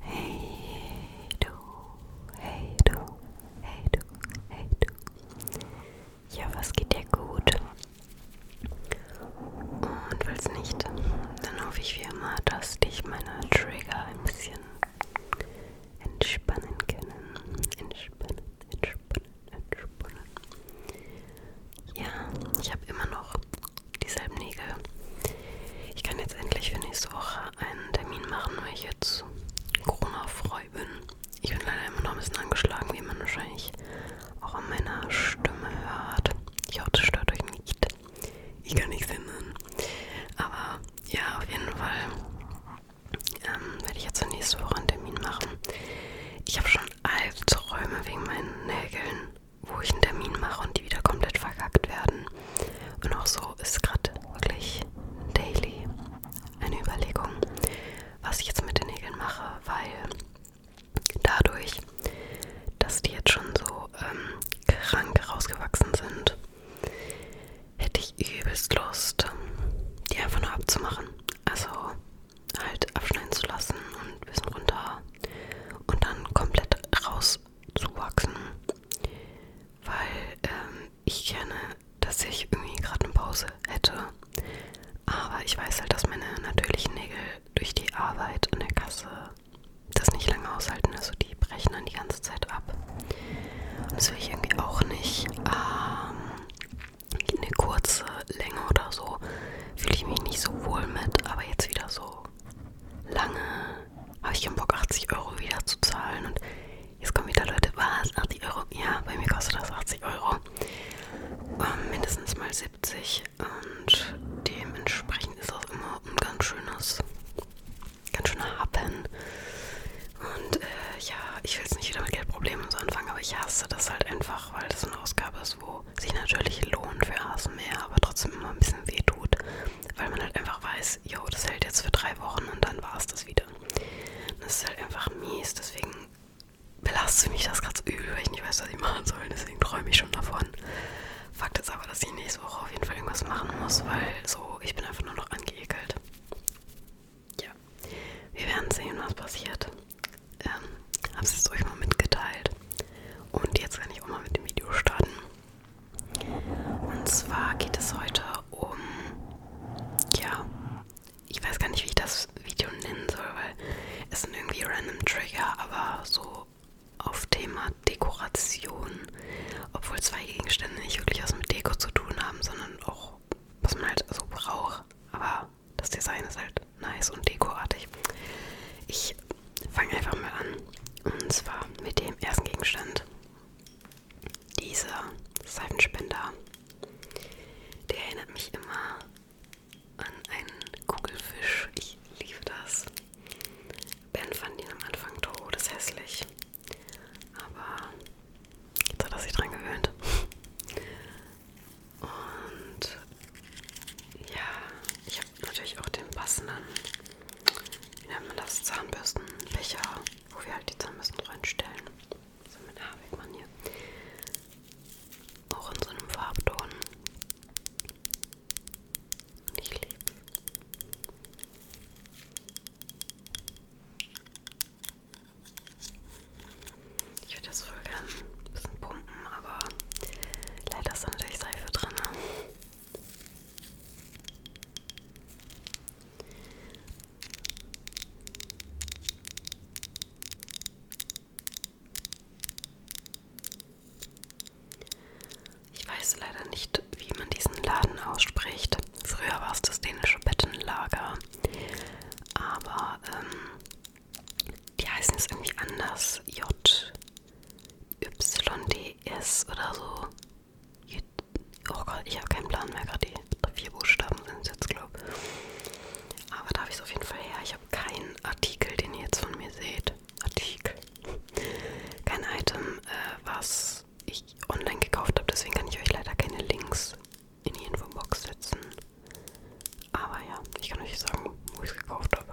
Hey du, hey du, hey du, hey du. Ja, was geht dir gut? Und falls nicht, dann hoffe ich wie immer, dass dich meine Trigger ein bisschen entspannen können. Entspannen entspannen, entspannen. Ja, ich habe immer noch dieselben Nägel. Ich kann jetzt endlich für nächste Woche einen Termin machen, weil ich jetzt Corona-frei bin. Ich bin leider immer noch ein bisschen angeschlagen, wie man wahrscheinlich auch an meiner Stimme hört. Ich hoffe, das stört euch nicht. Ich kann nichts ändern. Aber ja, auf jeden Fall ähm, werde ich jetzt nächste Woche einen Termin machen. Ich habe schon Albträume wegen meinen Nägeln, wo ich einen Termin mache und die wieder komplett verkackt werden. Und auch so ist gerade wirklich daily eine Überlegung, was ich jetzt mit den Nägeln mache, weil dadurch, dass die jetzt schon so ähm, krank rausgewachsen sind, hätte ich übelst Lust, die einfach nur abzumachen. Also halt abschneiden zu lassen und ein bisschen runter und dann komplett rauszuwachsen. Weil ähm, ich gerne, dass ich irgendwie gerade eine Pause hätte. Aber ich weiß halt, dass meine natürlichen Nägel durch die Arbeit in der Kasse das nicht lange aushalten. Also die brechen dann die ganze Zeit ab. Und das will ich irgendwie auch nicht. Ähm, eine kurze Länge oder so fühle ich mich nicht so wohl mit, aber jetzt wieder so lange habe ich keinen Bock, 80 Euro wieder zu zahlen. Und jetzt kommen wieder Leute, was? 80 Euro? Ja, bei mir kostet das 80 Euro. Ähm, mindestens mal 70. Und dementsprechend ist das immer ein ganz schönes, ganz schöner Happen. Und äh, ja, ich will jetzt nicht wieder mit Geldproblemen so anfangen, aber ich hasse das halt einfach einfach, weil das eine Ausgabe ist, wo sich natürlich lohnt für ASMR, aber trotzdem immer ein bisschen weh tut, weil man halt einfach weiß, yo, das hält jetzt für drei Wochen und dann war es das wieder. Das ist halt einfach mies, deswegen belastet mich das gerade so übel, weil ich nicht weiß, was ich machen soll, deswegen träume ich schon davon. Fakt ist aber, dass ich nächste Woche auf jeden Fall irgendwas machen muss, weil so, ich bin einfach nur noch angeekelt ja, wir werden sehen, was passiert. Ähm, hab's jetzt euch mal mitgeteilt. Und jetzt kann ich auch mal mit dem Video starten. Und zwar geht es heute um, ja, ich weiß gar nicht, wie ich das Video nennen soll, weil es sind irgendwie random Trigger, aber so auf Thema Dekoration, obwohl zwei Gegenstände nicht wirklich was mit Deko zu tun haben, sondern auch was man halt so braucht. Aber das Design ist halt nice und dekoratig. Ich fange einfach mal an. Und zwar mit dem ersten Gegenstand. Dieser Seifenspender. Der erinnert mich immer an einen Kugelfisch. Ich liebe das. Ben fand ihn am Anfang todeshässlich. Aber Jetzt hat er sich dran gewöhnt. Und ja, ich habe natürlich auch den passenden, wie nennt man das, Zahnbürstenbecher, wo wir halt die Zahnbürsten reinstellen. So mit Haarwegmann hier. Auch in so einem Farbton. Und ich liebe ich würde das voll gern ein bisschen pumpen, aber leider ist da natürlich Seife drin. Ne? Ich weiß leider nicht, wie man diesen Laden ausspricht. Früher war es das dänische Bettenlager. Aber ähm, die heißen es irgendwie anders. J, Y, D, S oder so. J oh Gott, ich habe keinen Plan mehr gerade. Die vier Buchstaben sind es jetzt, glaube ich. Aber darf ich es auf jeden Fall her? Ich habe keinen Artikel, den ihr jetzt von mir seht. Artikel. Kein Item, äh, was ich online gekauft habe. Deswegen kann ich euch leider keine Links in die Infobox setzen. Aber ja, ich kann euch nicht sagen, wo ich es gekauft habe.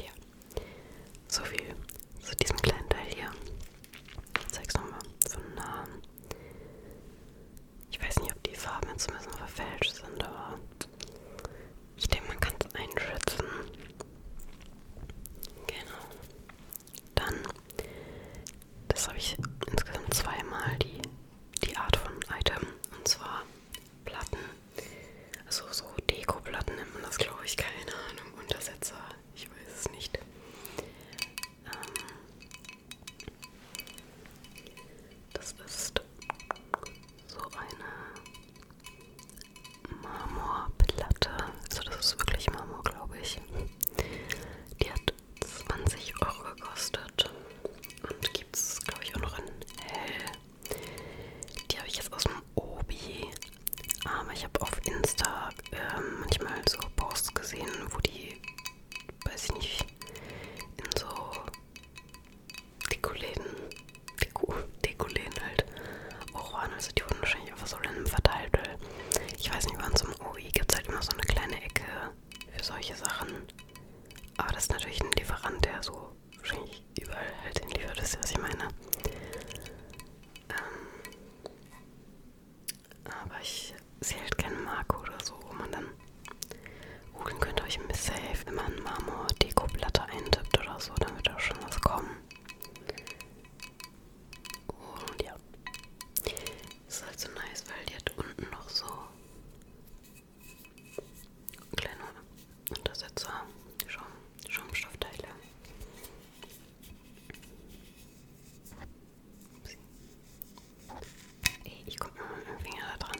Ja, so viel zu diesem kleinen Teil hier. Ich zeig's nochmal von Nahen. Ich weiß nicht, ob die Farben jetzt ein bisschen verfälscht sind, aber ich denke, man kann es einschätzen. Genau. Dann, das habe ich insgesamt zweimal die, die Art von Item. Und zwar Platten. Also so Dekoplatten nennt man das, glaube ich, keine Ahnung. Untersetzer, ich weiß es nicht. Ähm, das ist so eine Marmorplatte. Also das ist wirklich Marmor, glaube ich. Die hat 20 Euro gekostet und gibt es, glaube ich, auch noch in hell. Die habe ich jetzt aus dem Obi. Aber ähm, ich habe auf Insta äh, manchmal so Posts gesehen, wo die, weiß ich nicht, in so Dekoläden, Deko, Dekoläden halt auch waren. Also die wurden wahrscheinlich einfach so random verteilt. Weil ich weiß nicht, wann zum OI gibt es halt immer so eine kleine Ecke für solche Sachen. Aber das ist natürlich ein Lieferant, der so wahrscheinlich überall halt hinliefert, wisst ihr, was ich meine? Ähm, aber ich sehe halt keine Marke oder so, wo man dann googeln könnte, euch ein bisschen safe, wenn man Marmor-Deko-Platte eintippt oder so, dann wird auch schon was kommen. Und ja, das ist halt so nice, weil die hat unten noch so Kleine Untersetzer, Schaum, Schaumstoffteile. Ey, ich komme mal mit dem Finger da dran.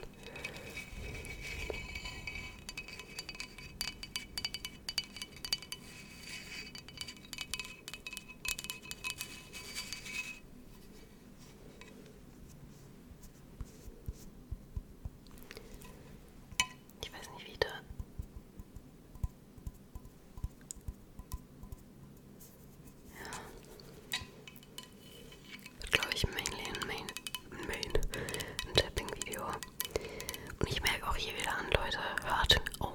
Ich weiß nicht, wie ich da. Ja. Wird, glaube ich, mainly ein Main, Main, ein Tapping-Video. Und ich merke auch hier wieder an, Leute, hört auf,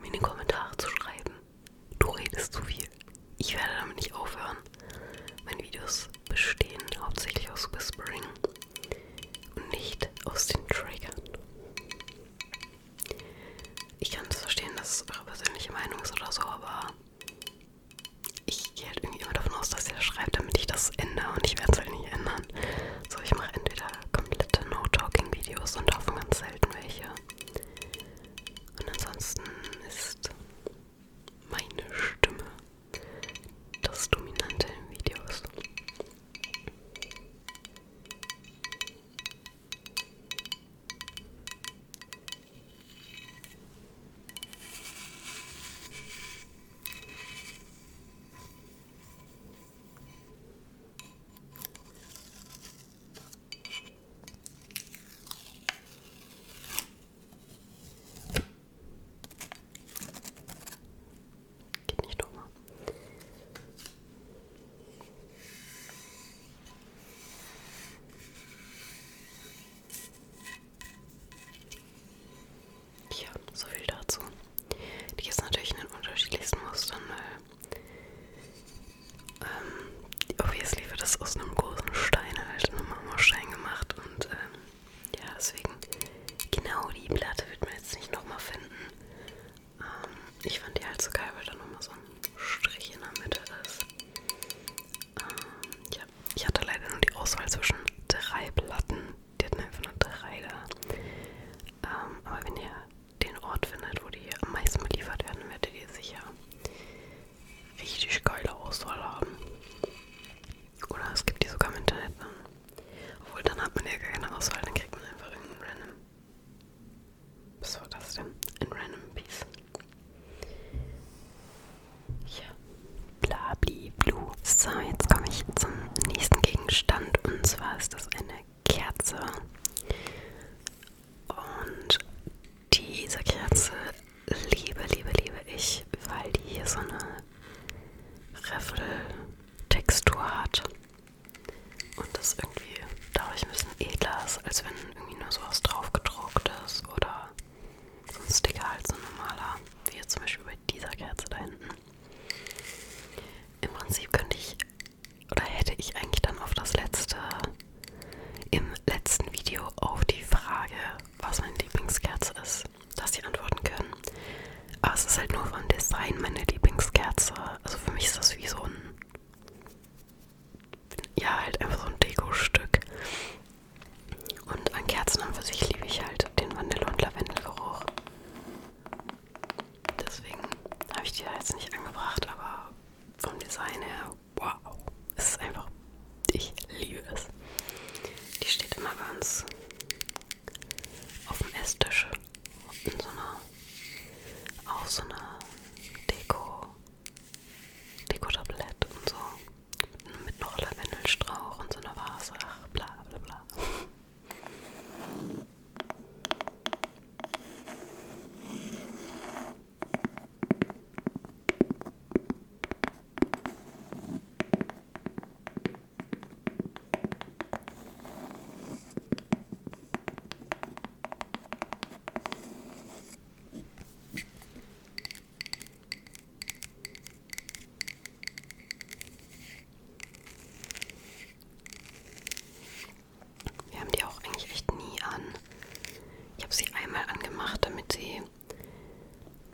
mir in die Kommentare zu schreiben. Du redest zu viel. Ich werde damit nicht aufhören. Meine Videos bestehen hauptsächlich aus Whispering und nicht aus den Triggern. Ich kann das verstehen, dass es eure persönliche Meinung ist oder so, aber ich gehe halt irgendwie immer davon aus, dass ihr das schreibt, damit ich das ändere und ich werde es halt nicht ändern. So, ich mache entweder komplette No-Talking-Videos und davon ganz selten welche. Und ansonsten ist meine Stimme das Dominante in Videos. Geht nicht nochmal. Ja, so viel dazu. Die gibt es natürlich in den unterschiedlichsten Mustern, weil ähm, obviously wird das aus einem großen Stein halt einen Marmorstein gemacht und ähm, ja, deswegen genau die Platte wird man jetzt nicht nochmal finden. Ähm, ich fand die halt so geil, weil da nochmal so ein Strich in der Mitte ist. Ähm, ja, ich hatte leider nur die Auswahl zwischen drei Platten. Die hatten einfach nur drei da. Ähm, aber wenn ihr den Ort findet, wo die am meisten beliefert werden, werdet ihr sicher richtig geile Auswahl haben. Oder es gibt die sogar im Internet dann. Ne? Obwohl, dann hat man ja gar keine Auswahl, dann kriegt man einfach irgendeinen random. Was war das denn? Ein random Piece. Ja. Blabli blue. So, jetzt komme ich zum nächsten Gegenstand. Und zwar ist das eine Kerze. Und diese Kerze liebe, liebe, liebe ich, weil die hier so eine Riffel-Textur hat. Und das irgendwie dadurch ein bisschen edler ist, als wenn irgendwie nur sowas drauf gedruckt ist oder so ein Sticker halt so ein normaler, wie jetzt zum Beispiel bei dieser Kerze da hinten. Im Prinzip könnte ich oder hätte ich eigentlich dann auf das letzte, im letzten Video auf die Frage, was meine Lieblingskerze ist, dass die antworten können. Aber es ist halt nur vom Design meine Lieblingskerze. Also für mich ist das wie so ein. Ja, halt einfach so ein Dekostück. Und an Kerzen an für sich liebe ich halt den Vanille- und Lavendelgeruch. Deswegen habe ich die da jetzt nicht angebracht, aber vom Design her wow. Es ist einfach, ich liebe es. Die steht immer bei uns auf dem Esstisch in so einer, auf so einer Deko, Deko-Tablett und so. Mit noch Lavendelstrauch und so einer Vase, ach bla bla bla. Wir haben die auch eigentlich echt nie an. Ich habe sie einmal angemacht, damit sie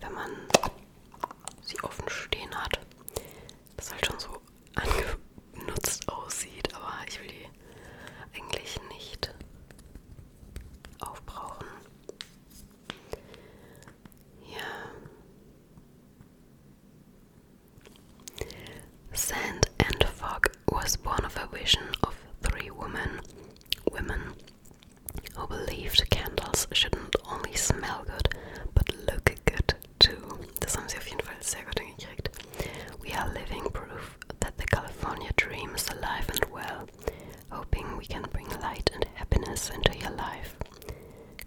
wenn man sie offen stehen hat, das halt schon so angenutzt aussieht, aber ich will die eigentlich nicht aufbrauchen. Yeah. Sand and fog was one of a vision of three women. Women who believed candles shouldn't only smell good, but look good too. Das haben sie auf jeden Fall sehr gut hingekriegt. We are living proof that the California dream is alive and well, hoping we can bring light and happiness into your life.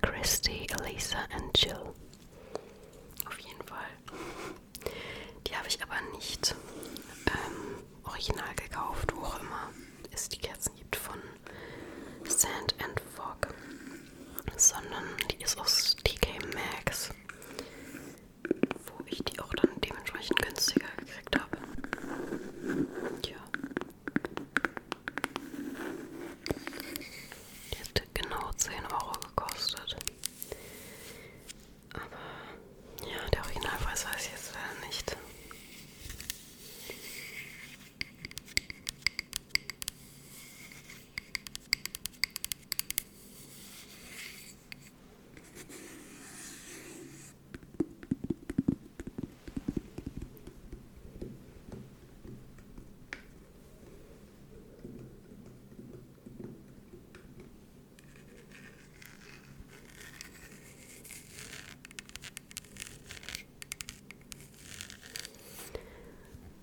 Christy, Elisa and Jill. Auf jeden Fall. Die habe ich aber nicht ähm, original gekauft, wo auch immer es die Kerzen gibt von Sand and Fog, sondern die ist aus TK Maxx, wo ich die auch dann dementsprechend günstiger gekriegt habe. Ja. Die hat genau 10 Euro gekostet. Aber ja, der Originalpreis weiß ich jetzt leider nicht.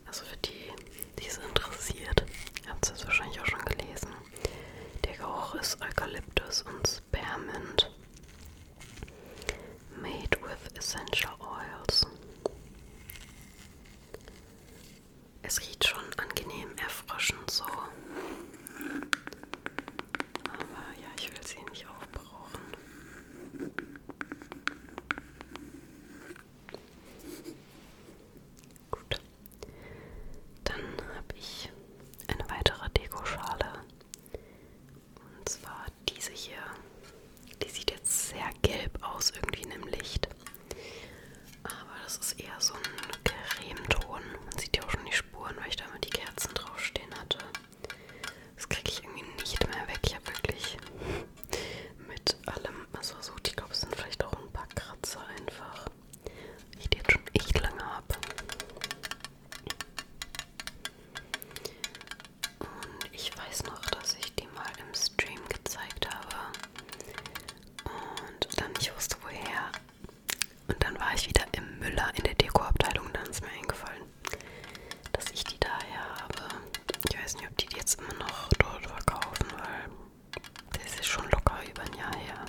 Also für die, die es interessiert, habt ihr es wahrscheinlich auch schon gelesen. Der Geruch ist Eukalyptus und Spearmint. Made with essential oils. Es riecht schon angenehm erfrischend so. Aber ja, ich will sie nicht aufbrauchen. Gut. Dann habe ich eine weitere Dekoschale. Und zwar diese hier. Die sieht jetzt sehr gelb aus, irgendwie in dem Licht. Aber das ist eher so ein Cremeton. Man sieht ja auch schon die Spuren, weil ich da mal die Kerzen draufstehen hatte. Das kriege ich irgendwie nicht mehr weg. Ich habe wirklich mit allem, also so, ich glaube, es sind vielleicht auch ein paar Kratzer einfach. Ich die jetzt schon echt lange habe. Und ich weiß noch, dass ich die mal im Stream gezeigt habe und dann nicht wusste, woher und dann war ich wieder im Müller in der Dekoabteilung und dann ist mir eingefallen, dass ich die daher habe. Ich weiß nicht, ob die, die jetzt immer noch dort verkaufen, weil das ist schon locker über ein Jahr her.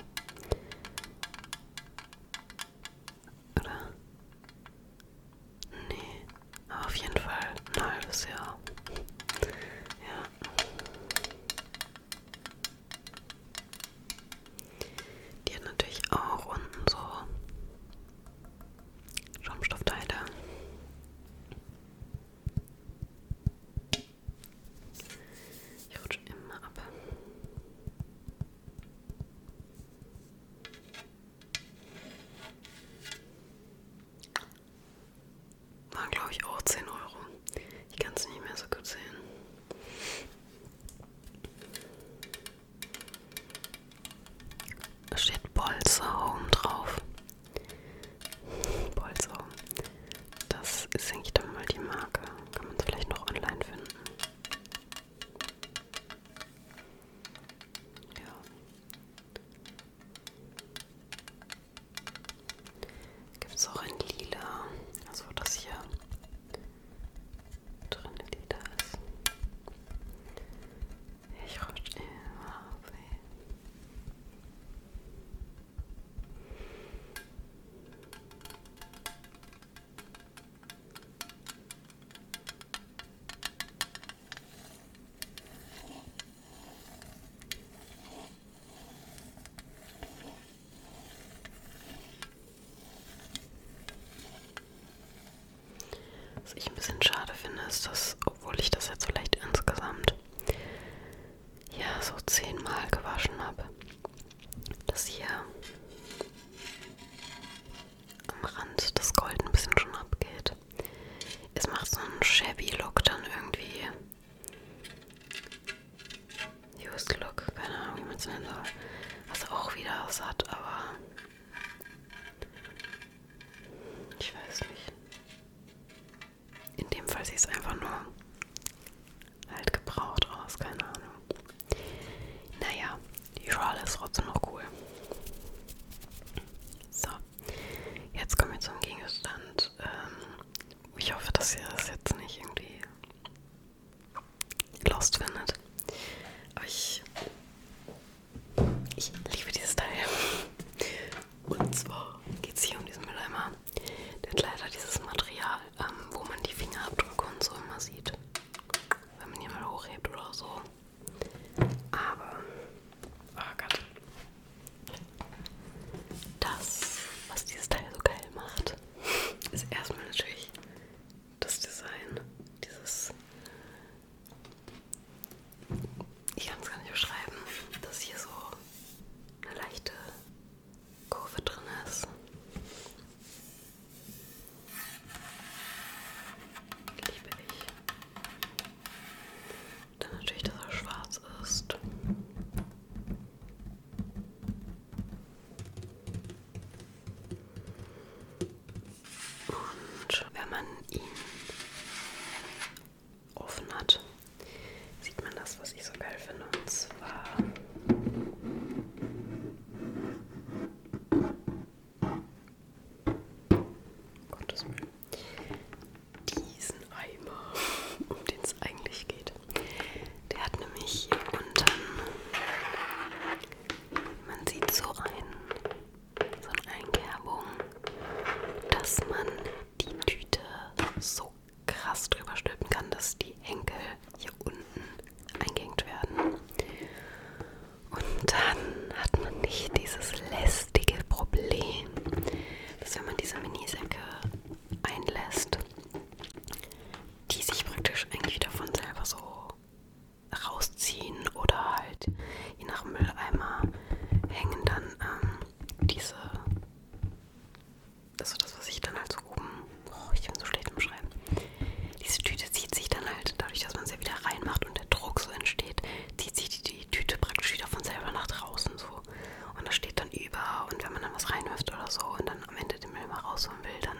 Oder? Nee, aber auf jeden Fall ein halbes Jahr. Ja. Die hat natürlich auch unten so Schaumstoffteile. Ich rutsche immer ab. Waren glaube ich auch 10 Euro. Ich kann es nicht mehr so gut sehen. Da steht Bolzer Home drauf. Bolzer Home. Das ist eigentlich dann mal die Marke. Kann man es vielleicht noch online finden. Ja. Gibt es auch in lila. Also das hier drin Lieder ist. Ich rutsche immer auf. Ey. Was ich ein bisschen schade finde, ist, dass, obwohl ich das jetzt vielleicht insgesamt ja so zehnmal gewaschen habe, dass hier am Rand das Gold ein bisschen schon abgeht. Es macht so einen shabby Look dann irgendwie Used Look, keine Ahnung, wie man es nennen soll. Was auch wieder was hat, aber. Ich weiß nicht. In dem Fall sieht es einfach nur halt gebraucht aus, keine Ahnung. Naja, die Rolle ist trotzdem noch cool. So, jetzt kommen wir zum Gegenstand. Ähm, ich hoffe, dass ihr das jetzt nicht irgendwie Lost findet. Aber ich, ich liebe dieses Teil. Und zwar geht es hier um diesen Mülleimer. Der hat leider dieses Material, ähm, wo man die Fingerabdrücke und so immer sieht. Wenn man ihn mal hochhebt oder so. Aber, oh Gott. Das, was dieses Teil so geil macht, ist erstmal natürlich das Design, dieses. Ich kann es gar nicht beschreiben, dass hier so eine leichte Kurve drin ist. Liebe ich. Dann natürlich, dass er schwarz ist. Und wenn man ihn offen hat, sieht man das, was ich so geil finde. Und zwar Gottes Willen. Diesen Eimer, um den es eigentlich geht. Der hat nämlich hier unten, man sieht so, ein, so eine Einkerbung, dass man die Tüte so krass drüber stülpen kann, dass die Henkel hier unten eingehängt werden. Und dann hat man nicht dieses lästige Problem, dass wenn man diese Minisäcke einlässt, die sich praktisch eigentlich davon selber so rausziehen oder halt je nach Mülleimer hängen dann ähm, diese, also das, was ich dann halt so oben, oh, ich bin so schlecht im Schreiben, diese Tüte zieht sich dann halt, dadurch, dass man sie wieder reinmacht und der Druck so entsteht, zieht sich die, die Tüte praktisch wieder von selber nach draußen, so und das steht dann über und wenn man dann was reinwirft oder so und dann am Ende den Müll mal rausholen will, dann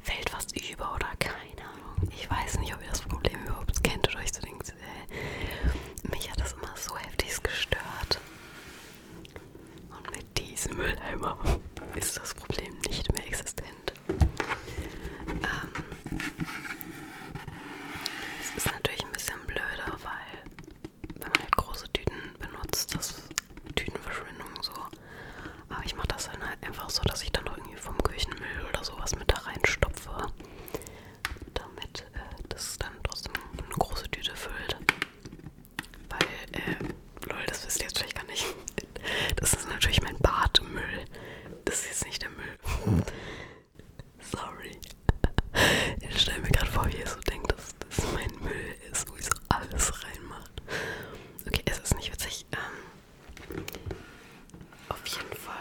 fällt was über oder keine Ahnung. Ich weiß nicht, ob ihr das Problem überhaupt kennt oder euch so denkt, äh, mich hat das immer so heftig gestört. Und mit diesem Mülleimer ist das Problem nicht mehr existent. Ähm, es ist natürlich ein bisschen blöder, weil wenn man halt große Tüten benutzt, das ist Tütenverschwendung so. Aber ich mache das dann halt einfach so, dass ich dann noch irgendwie vom Küchenmüll oder sowas mit da reinstopfe, damit äh, das dann trotzdem eine große Tüte füllt. Weil, äh, lol, das wisst ihr jetzt vielleicht gar nicht. Das ist natürlich mein Badmüll. Das ist jetzt nicht der Müll. Hm. Sorry. Ich stelle mir gerade vor, wie ihr so denkt, dass das mein Müll ist, wo ich so alles reinmacht. Okay, es ist nicht witzig. Ähm, auf jeden Fall,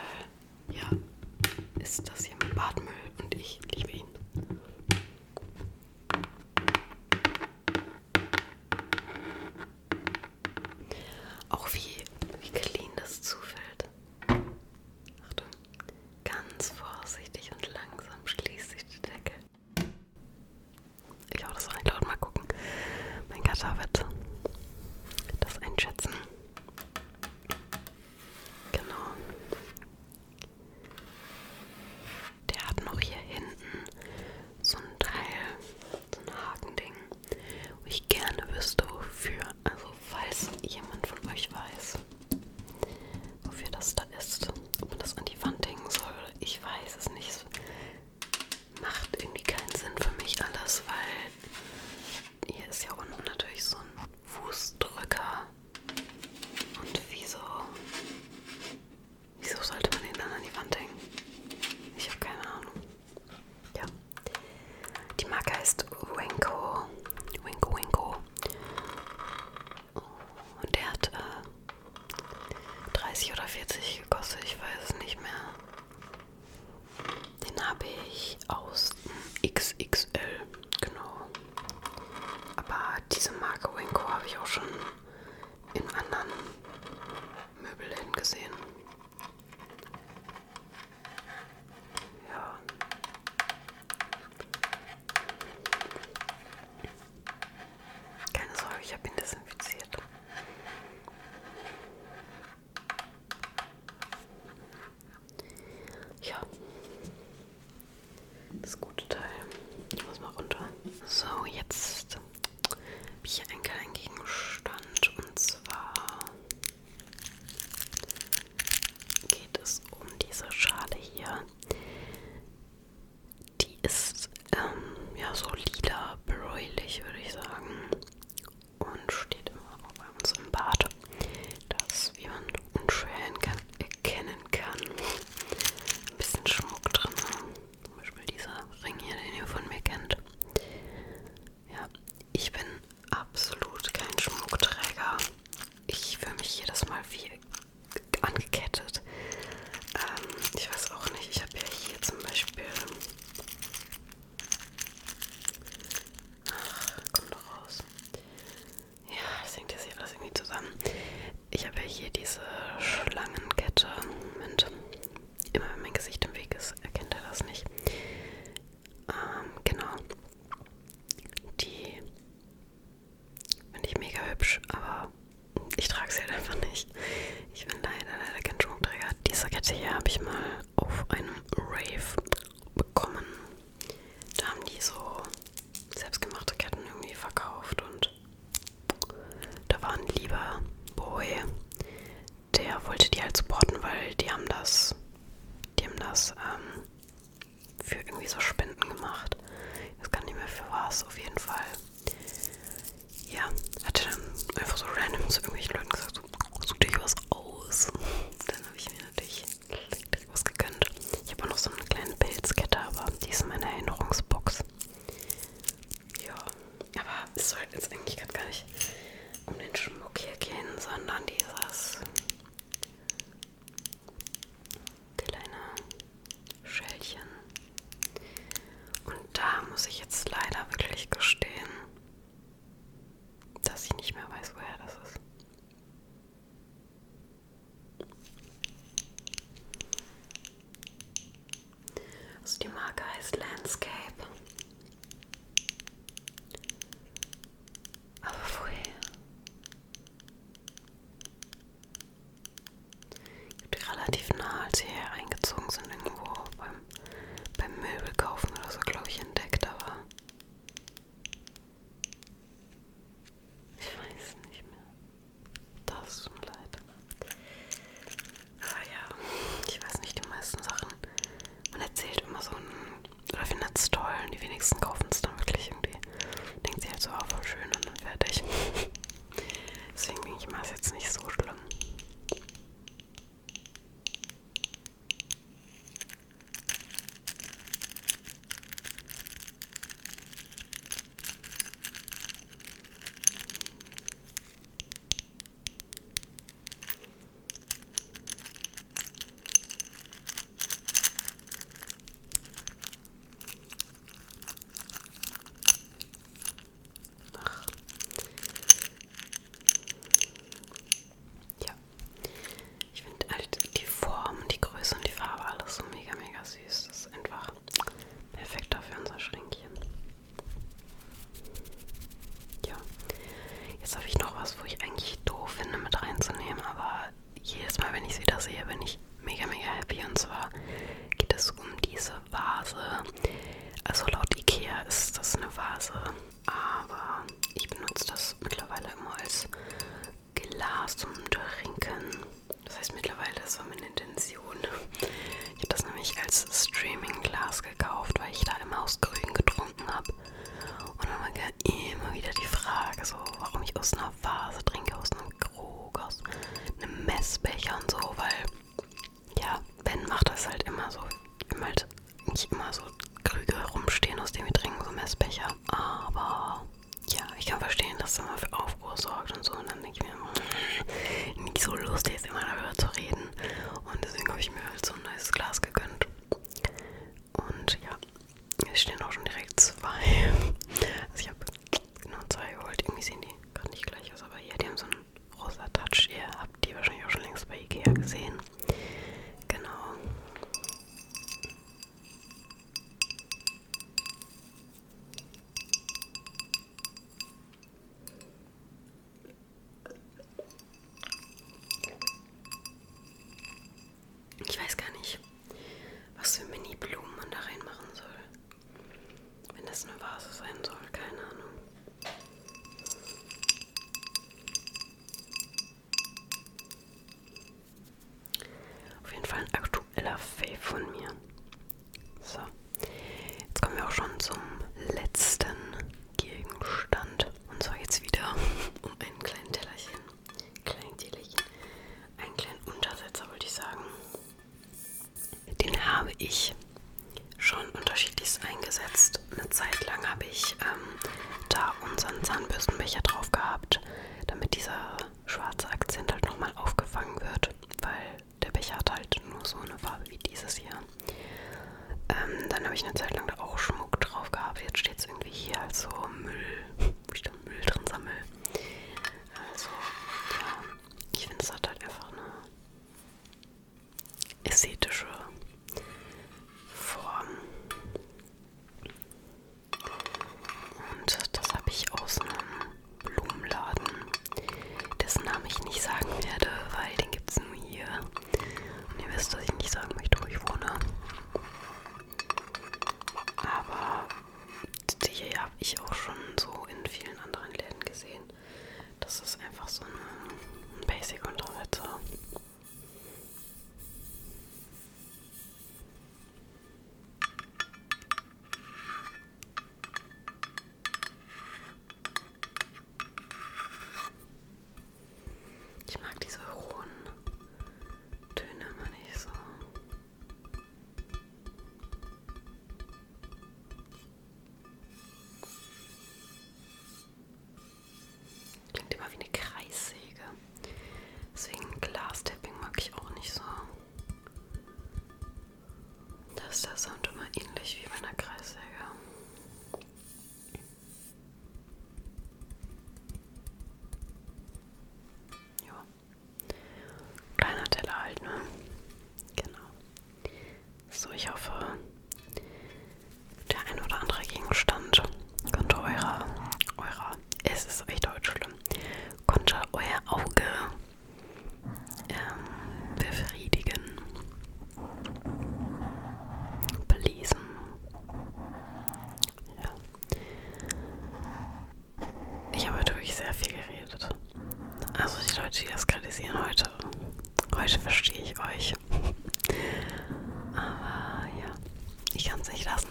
ja, ist das hier mein Badmüll und ich liebe ihn. Auch wie, wie clean das zufällt. Achtung. Ganz vorsichtig und langsam schließt sich die Decke. Ich hau das rein laut mal gucken. Mein Gatter wird das einschätzen. Genau. Der hat noch hier hinten so ein Teil, so ein Hakending, wo ich gerne wüsste, wofür. Also, falls jemand von euch weiß, wofür das da ist. Ob man das an die Wand hängen soll, ich weiß es nicht. Es macht irgendwie keinen Sinn für mich alles, weil hier ist ja unten natürlich so ein Fußdrücker. Und wieso? Wieso sollte man den dann an die Wand hängen? Ich habe keine Ahnung. Ja. Die Marke heißt Winko. Winko Winko. Und der hat äh, 30 oder 40 gekostet, ich weiß es nicht mehr. Den habe ich aus XXL, genau. Aber diese Marke Winko habe ich auch schon in anderen Möbelläden gesehen. Ja. Keine Sorge, ich habe ihn desinfiziert. Ja. Das gute Teil. Ich muss mal runter. So, jetzt habe ich hier einen kleinen Gegenstand und zwar geht es um diese Schale hier. Die ist ähm, ja so lila, bräulich würde ich sagen. Und steht immer auch bei uns im Bad. Das, wie man unschwer kann, erkennen kann, ein bisschen Schmuck drin. Ne? Zum Beispiel dieser Ring hier, den ihr von mir kennt. Ja, ich bin absolut kein Schmuckträger ich fühle mich jedes Mal wie angekettet. Ähm, ich weiß auch nicht, ich habe ja hier zum Beispiel. Ach, komm doch raus. Ja, das hängt jetzt hier alles irgendwie zusammen. Ich habe ja hier diese Schlangenkette. Moment. Immer wenn mein Gesicht im Weg ist, erkennt er das nicht. Ähm, genau. Die Finde ich mega hübsch, aber ich trage sie halt einfach nicht. Ich bin leider, leider kein Schmuckträger. Diese Kette hier habe ich mal auf einem Rave bekommen. Da haben die so selbstgemachte Ketten irgendwie verkauft und da war ein lieber Boy, der wollte die halt supporten, weil die haben das, die haben das ähm, für irgendwie so Spenden gemacht. Das kann nicht mehr für was, auf jeden Fall. Ja, hatte dann einfach so random zu irgendwelchen Leuten gesagt, so, such dich was aus. Dann habe ich mir natürlich direkt was gegönnt. Ich habe auch noch so eine kleine Pilzkette, aber die ist in meiner Erinnerungsbox. Ja, aber es soll jetzt eigentlich gerade gar nicht um den Schmuck hier gehen, sondern dieses kleine Schälchen. Und da muss ich jetzt leider wirklich gestehen, dass ich nicht mehr weiß, woher das ist. Also die Marke heißt Landscape. Aber woher? Gibt relativ nah, als sie hierher eingezogen sind, irgendwo beim, beim Möbelkaufen oder so, glaube ich, entdeckt, aber. Ich weiß nicht mehr. Das tut mir leid. Aber ja, ich weiß nicht, die meisten Sachen. Man erzählt immer so ein oder findet es toll und die wenigsten kaufen es dann wirklich irgendwie. Denkt sich halt so, oh, voll schön und dann fertig. Deswegen denke ich mal, ist jetzt nicht so schlimm. Ach. Ja, ich finde halt die Form, die Größe und die Farbe alles so mega, mega süß. Das ist einfach perfekt dafür unser Schränkchen. Ja, jetzt habe ich noch was, wo ich eigentlich doof finde mit reinzunehmen, aber jedes Mal, wenn ich sie da sehe, bin ich mega, mega happy. Und zwar geht es um diese Vase. Also laut Ikea ist das eine Vase, aber ich benutze das mittlerweile immer als Glas zum Trinken. Das heißt mittlerweile, das war meine Intention. Ich habe das nämlich als Streaming-Glas gekauft, weil ich da immer aus Grün getrunken habe habe. Und dann war immer wieder die Frage, so, warum ich aus einer Vase trinke, aus einem Krug, aus einem Messbecher und so, weil, ja, Ben macht das halt immer so. Wir haben halt nicht immer so Krüge rumstehen, aus denen wir trinken, so Messbecher. Aber, ja, ich kann verstehen, dass das immer für Aufruhr sorgt und so. Und dann denke ich mir, immer, nicht so lustig jetzt immer darüber zu reden. Und deswegen habe ich mir halt so ein neues Glas gegönnt. Und ja, es stehen auch schon direkt zwei. Also ich habe genau zwei geholt. Irgendwie sehen die gerade nicht gleich aus, aber hier, die haben so einen rosa Touch. Ihr habt die wahrscheinlich auch schon längst bei Ikea gesehen. Genau. Ich weiß gar nicht, was für Mini-Blumen man da reinmachen soll. Wenn das eine Vase sein soll, keine Ahnung. Auf jeden Fall ein aktueller Fave von mir. So, jetzt kommen wir auch schon zum letzten Gegenstand. Und zwar jetzt wieder um einen kleinen Tellerchen, kleinen Tellerchen, einen kleinen Untersetzer wollte ich sagen. Den habe ich schon unterschiedlichst eingesetzt. Eine Zeit lang habe ich ähm, da unseren Zahnbürstenbecher drauf gehabt, damit dieser schwarze Akzent halt nochmal aufgefangen wird, weil der Becher hat halt nur so eine Farbe wie dieses hier. Ähm, dann habe ich eine Zeit lang da auch Schmuck drauf gehabt. Jetzt steht jetzt irgendwie hier als so Müll, wo ich dann Müll drin sammle. Also, ja, ich finde, es hat halt einfach eine ästhetische Form. Und das habe ich aus einem Blumenladen, dessen Namen ich nicht sagen werde, weil den gibt es nur hier. Und ihr wisst, dass ich nicht sagen möchte, wo ich wohne. Aber die habe ich auch schon so in vielen anderen Läden gesehen. Das ist einfach so eine Basic-Untersetzer. Ich mag diese hohen Töne immer nicht so. Klingt immer wie eine Kreissäge. Deswegen Glastapping mag ich auch nicht so. Da ist der Sound immer ähnlich wie bei einer Kreissäge. Ja. Kleiner Teller halt, ne? Genau. So, ich hoffe, der ein oder andere Gegenstand konnte eurer, eurer, es ist echt heute schlimm, konnte euer Auge ähm, befriedigen belesen. Ja. Ich habe heute wirklich sehr viel geredet. Also die Leute, die das kritisieren heute, heute verstehe ich euch. Aber ja, ich kann es nicht lassen.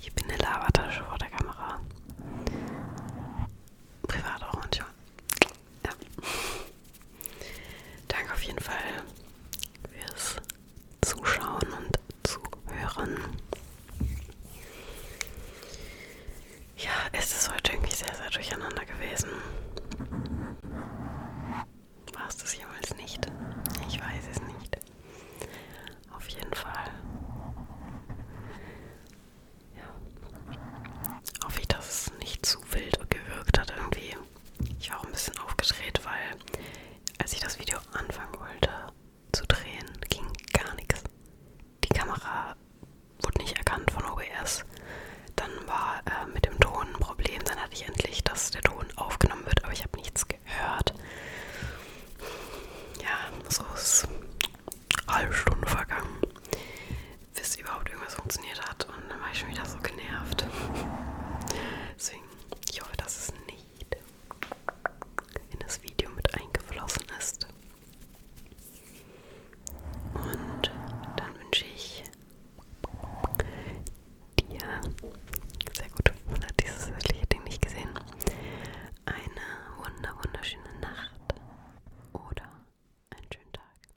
Ich bin eine Labertasche vor der Kamera. Privat auch manchmal. Ja. Danke auf jeden Fall fürs Zuschauen und Zuhören. Ja, es ist heute irgendwie sehr, sehr durcheinander gewesen. War es das jemals nicht? Ich weiß es nicht. Auf jeden Fall. Ja. Hoffe ich, dass es nicht zu wild gewirkt hat irgendwie. Ich war auch ein bisschen aufgedreht, weil als ich das Video anfangen wollte zu drehen, ging gar nichts. Die Kamera wurde nicht erkannt von OBS. Dann war äh, mit dem Ton ein Problem. Dann hatte ich endlich, dass der Ton aufgenommen wird, aber ich habe nichts gehört. Ja, so ist eine halbe Stunde vergangen, bis überhaupt irgendwas funktioniert hat gemacht und dann war ich schon wieder so genervt. Deswegen, ich hoffe, dass es nicht in das Video mit eingeflossen ist. Und dann wünsche ich dir, sehr gut, man hat dieses wirkliche Ding nicht gesehen, eine wunder wunderschöne Nacht oder einen schönen Tag.